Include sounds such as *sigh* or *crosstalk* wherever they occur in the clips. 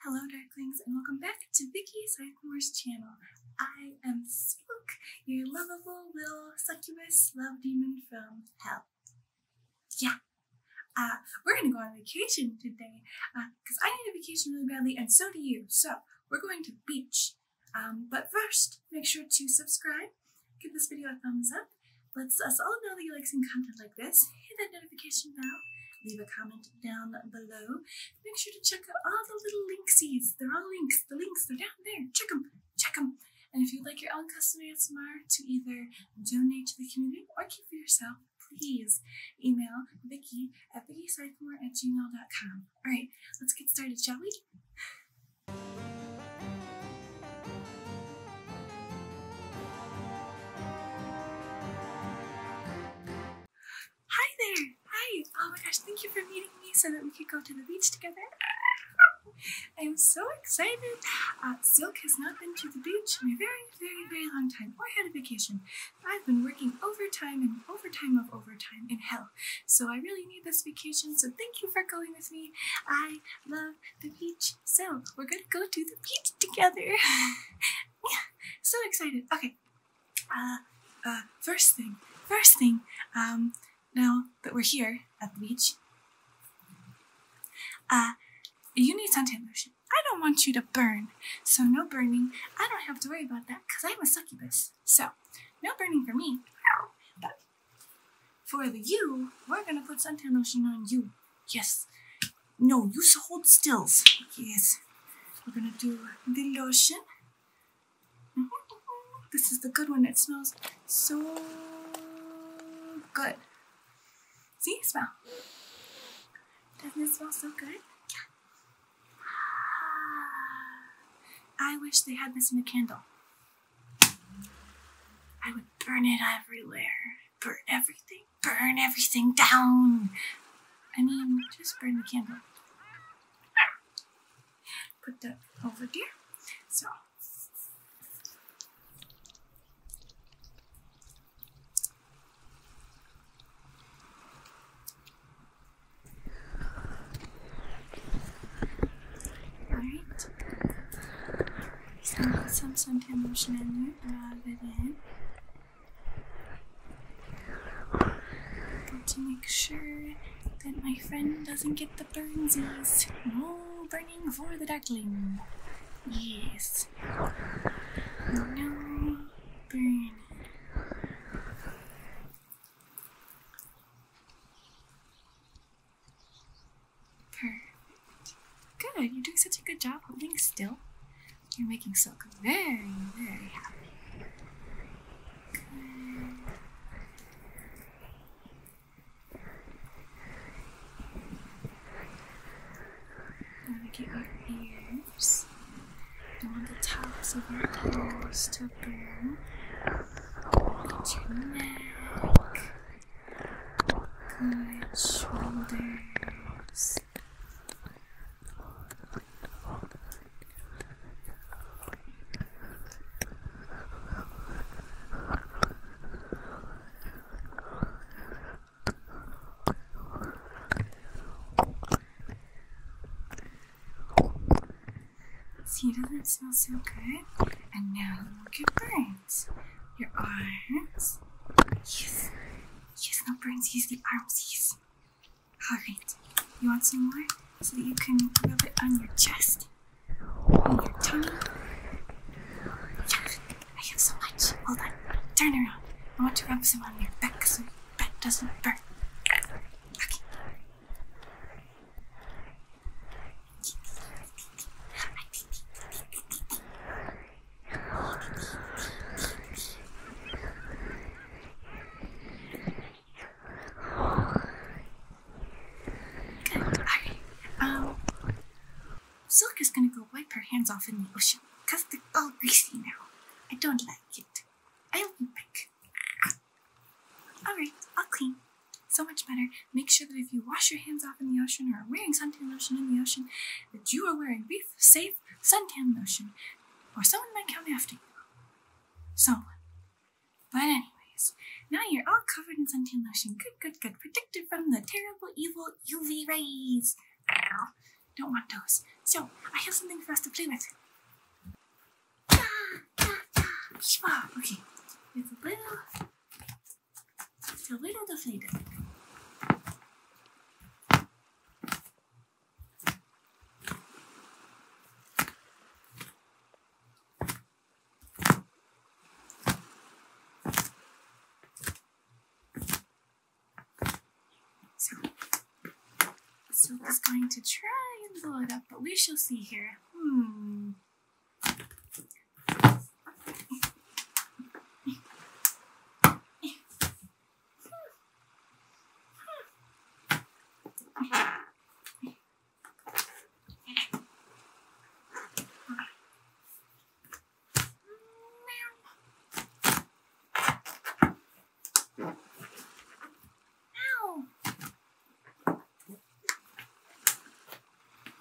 Hello Darklings and welcome back to Vicky Sycamore's channel. I am Silk, your lovable little succubus love demon from hell. Yeah, uh, we're gonna go on vacation today because uh, I need a vacation really badly and so do you. So we're going to beach. Um, but first, make sure to subscribe, give this video a thumbs up, let us all know that you like seeing content like this, hit that notification bell, leave a comment down below. Make sure to check out all the little linksies. They're all links. The links, are down there. Check them. Check them. And if you'd like your own custom ASMR to either donate to the community or keep for yourself, please email Vicky at VickySiphmore at gmail.com. All right, let's get started, shall we? Hi there! Hi! Oh my gosh, thank you for meeting me so that we could go to the beach together. I'm so excited. Silk uh, has not been to the beach in a very, very, very long time or had a vacation. I've been working overtime and overtime of overtime in hell. So I really need this vacation, so thank you for going with me. I love the beach. So we're going to go to the beach together. *laughs* yeah, so excited. Okay, uh, uh, first thing, first thing, um, now that we're here at the beach, uh, you need suntan lotion. I don't want you to burn, so no burning. I don't have to worry about that because I'm a succubus. So, no burning for me. But for the you, we're gonna put suntan lotion on you. Yes, no, you hold stills. Yes. We're gonna do the lotion. Mm-hmm. This is the good one. It smells so good. See, smell. Doesn't it smell so good? Yeah. I wish they had this in a candle. I would burn it everywhere. for everything burn everything down. I mean, just burn the candle. Put that over there. So. Alright. So, some suntan lotion in there. Rub Got to make sure that my friend doesn't get the burnsies. No burning for the duckling. Yes. No burning. Perfect. Good, you're doing such a good job holding still. You're making Silk very, very happy. Good. Now we get your ears. You want the tops of your toes to burn. Get your neck. Good See, doesn't smell so good? And now look at Burns. Your arms. Yes. Yes, not Burns, yes, the arms. Yes. Alright, you want some more? So that you can rub it on your chest, on your tongue. Yeah, I have so much. Hold on, turn around. I want to rub some on your back so your back doesn't burn. Okay um, Silk is gonna go wipe her hands off in the ocean because they're all greasy now. I don't like it. I don't like Alright, right, I'll clean. So much better. Make sure that if you wash your hands off in the ocean or are wearing suntan lotion in the ocean, that you are wearing reef safe safe suntan lotion, or someone might come after you. So, but anyways, now you're all covered in suntan lotion. Good, good, good. Protected from the terrible, evil UV rays. Don't want those. So, I have something for us to play with. Okay, it's a little, a little deflated. So, Silk is going to try and blow it up, but we shall see here. Hmm.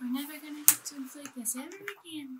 We're never gonna get twins like this ever again.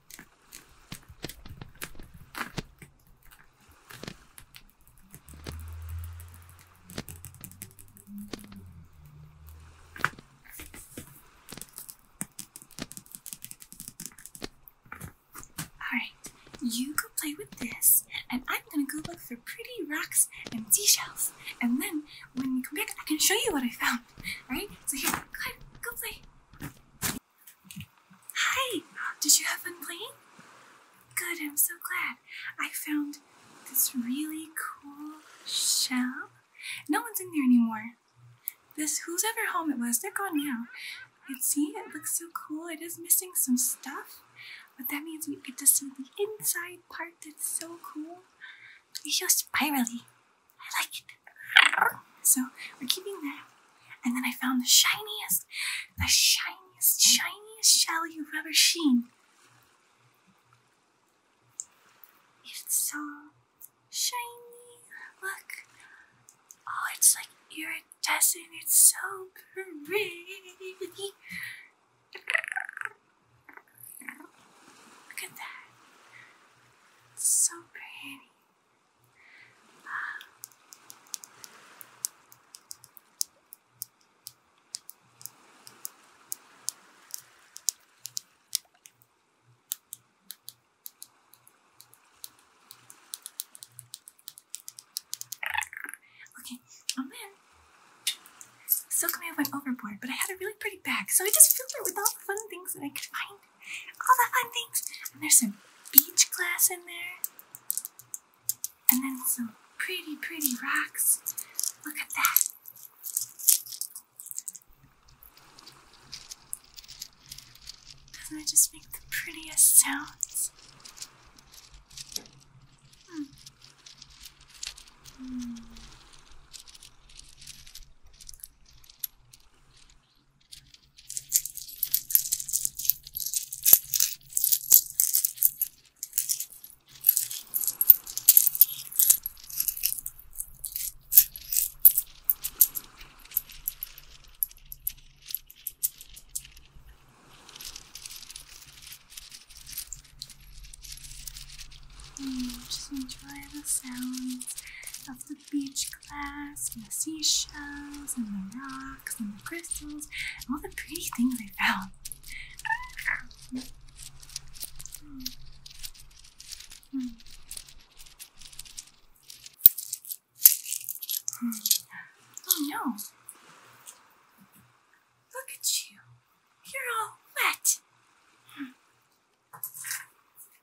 Alright, you go play with this, and I'm gonna go look for pretty rocks and seashells. And then when we come back, I can show you what I found. Alright? So here, go ahead, go play. Hi! Did you have fun playing? Good, I'm so glad. I found this really cool shell. No one's in there anymore. This, whose ever home it was, they're gone now. And see, it looks so cool. It is missing some stuff, but that means we get to see the inside part that's so cool. It's so spirally. I like it. So we're keeping that. And then I found the shiniest, the shiniest, shiniest shell you've ever seen. It's so shiny. Look. Oh, it's like iridescent. It's so pretty. Look at that. It's so pretty. Um, i oh man, silk may have went overboard, but I had a really pretty bag, so I just filled it with all the fun things that I could find all the fun things. And there's some beach glass in there. And then some pretty, pretty rocks. Look at that. does just make the prettiest sounds? Hmm. hmm. And mm, just enjoy the sounds of the the beach glass and the seashells and the rocks and the crystals and all the pretty things I found. Oh no! Look at you! You're all wet!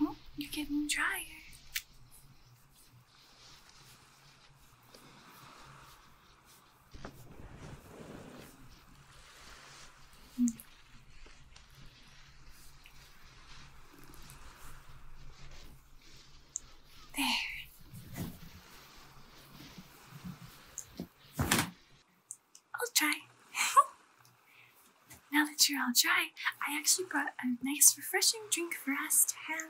Oh, you're getting drier. There. I'll try. *laughs* now that you're all dry, I actually brought a nice refreshing drink for us to have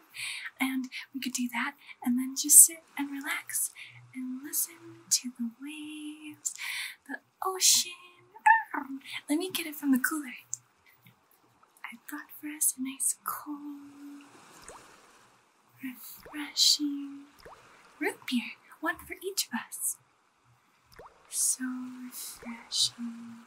and we could do that and then just sit and relax and listen to the waves, the ocean. Let me get it from the cooler. I brought for us a nice cold, refreshing root beer, one for each of us. So refreshing.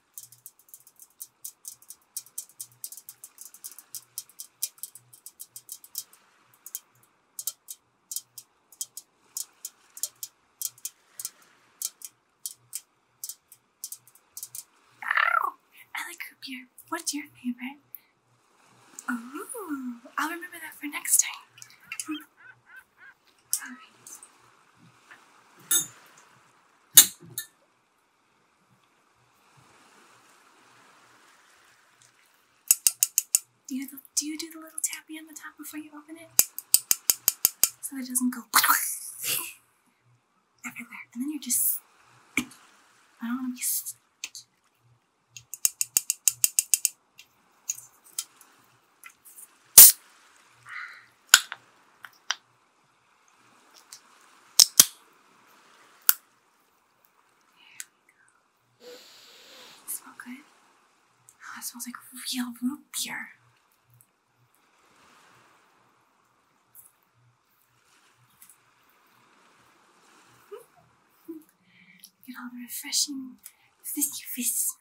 I like root What's your favorite? Oh, I'll remember that for next time. *laughs* Do you, do you do the little tappy on the top before you open it? So it doesn't go *laughs* everywhere. And then you're just. I don't want to be. There Smell good? Oh, it smells like real root beer. Look *laughs* at all the refreshing fizzy fizz.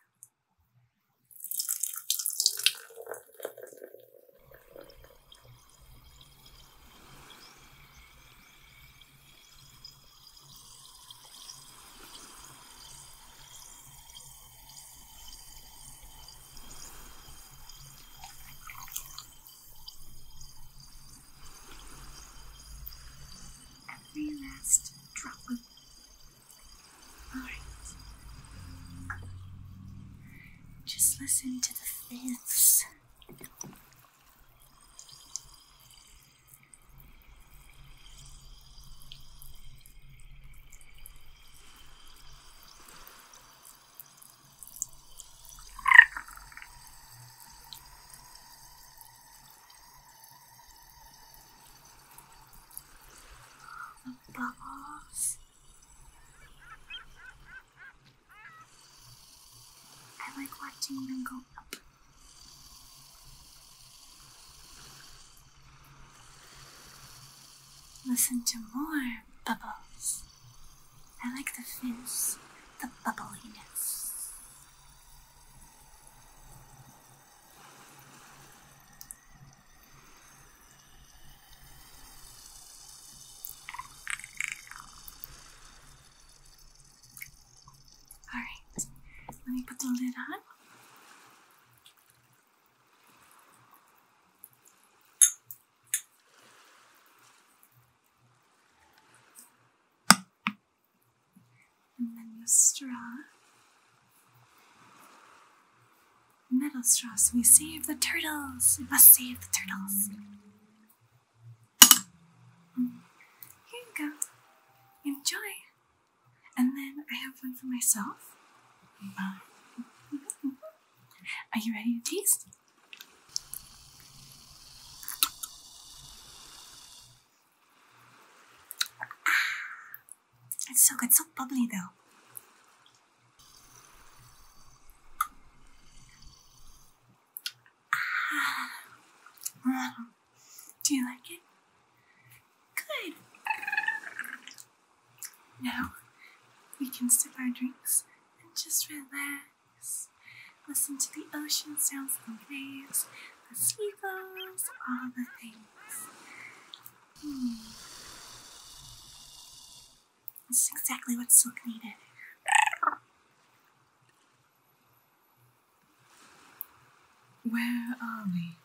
Every last drop. All right. Just listen to the this. Bubbles. I like watching them go up. Listen to more bubbles. I like the fins, the bubbliness. All right, let me put the lid on. And then your straw. Metal straws. we save the turtles. We must save the turtles. Here you go. Enjoy. And then I have one for myself. Uh, *laughs* are you ready to taste? Ah, it's so good, so bubbly though. Ah. Do you like it? Good. Now we can sip our drinks and just relax. Listen to the ocean sounds and waves, the seagulls, all the things. Hmm. This is exactly what Silk needed. Where are we?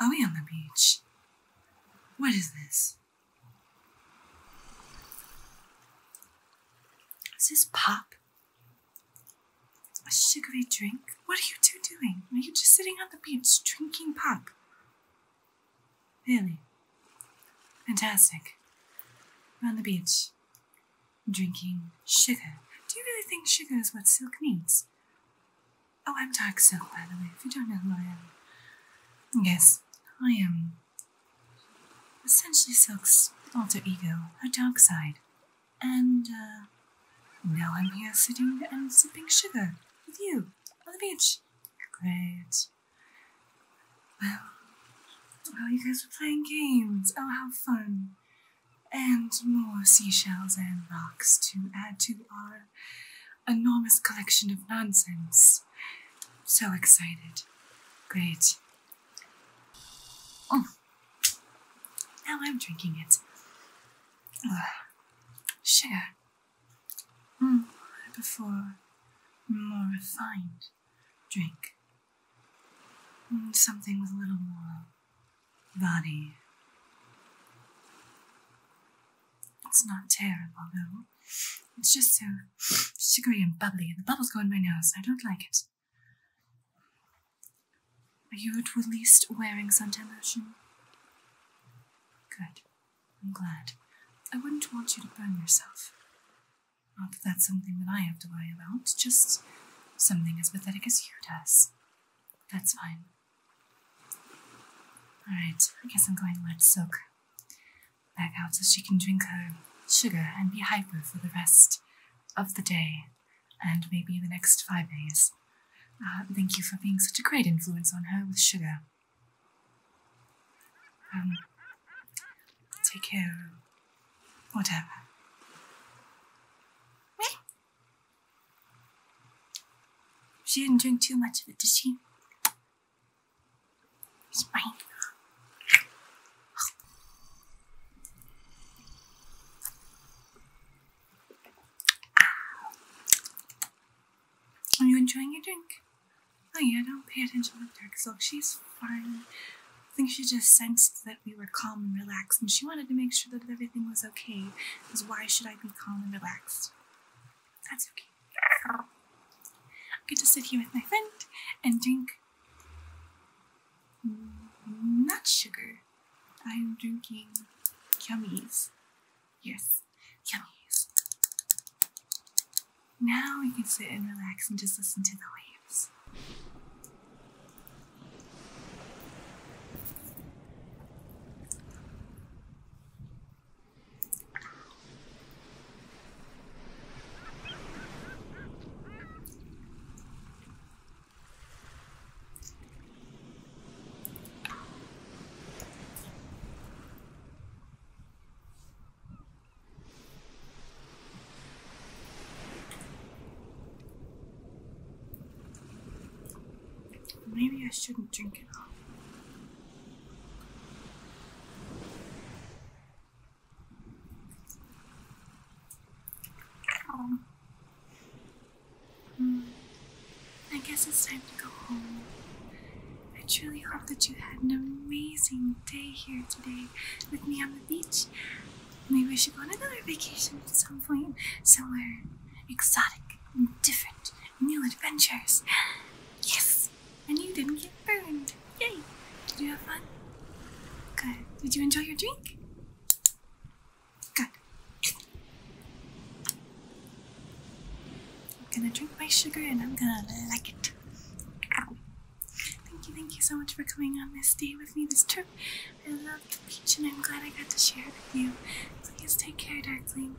Are we on the beach? What is this? Is this pop? A sugary drink? What are you two doing? Are you just sitting on the beach drinking pop? Really? Fantastic. On the beach. Drinking sugar. Do you really think sugar is what silk needs? Oh, I'm dark silk, by the way, if you don't know who I am. Yes, I am essentially silk's alter ego, her dark side. And, uh, now I'm here sitting and sipping sugar with you on the beach. Great. Well, well, you guys were playing games. Oh, how fun! And more seashells and rocks to add to our enormous collection of nonsense. So excited. Great. Oh, now I'm drinking it. Ugh. Sugar. Mm, I prefer more refined drink. Hmm, something with a little more body. It's not terrible though. It's just so sugary and bubbly, and the bubbles go in my nose, I don't like it. Are you at least wearing suntan Good. I'm glad. I wouldn't want you to burn yourself. Not that that's something that I have to worry about, just something as pathetic as you does. that's fine. Alright, I guess I'm going to let soak back out so she can drink her sugar and be hyper for the rest of the day and maybe the next five days. Uh, thank you for being such a great influence on her with sugar. Um, take care of whatever. She didn't drink too much of it, did she? It's mine. Are you enjoying your drink? Oh yeah, don't pay attention to her because look, she's fine. I think she just sensed that we were calm and relaxed, and she wanted to make sure that everything was okay. Because why should I be calm and relaxed? That's okay. I get to sit here with my friend and drink Not sugar. I'm drinking yummies. Yes. Yummies. Now we can sit and relax and just listen to the waves. Maybe I shouldn't drink it all. Um, hmm. I guess it's time to go home. I truly hope that you had an amazing day here today with me on the beach. Maybe we should go on another vacation at some point, somewhere exotic and different, new adventures. Yes! And you didn't get burned. Yay! Did you have fun? Good. Did you enjoy your drink? Good. I'm gonna drink my sugar and I'm gonna like it. Thank you, thank you so much for coming on this day with me this trip. I love the beach and I'm glad I got to share it with you. Please take care, Darkling.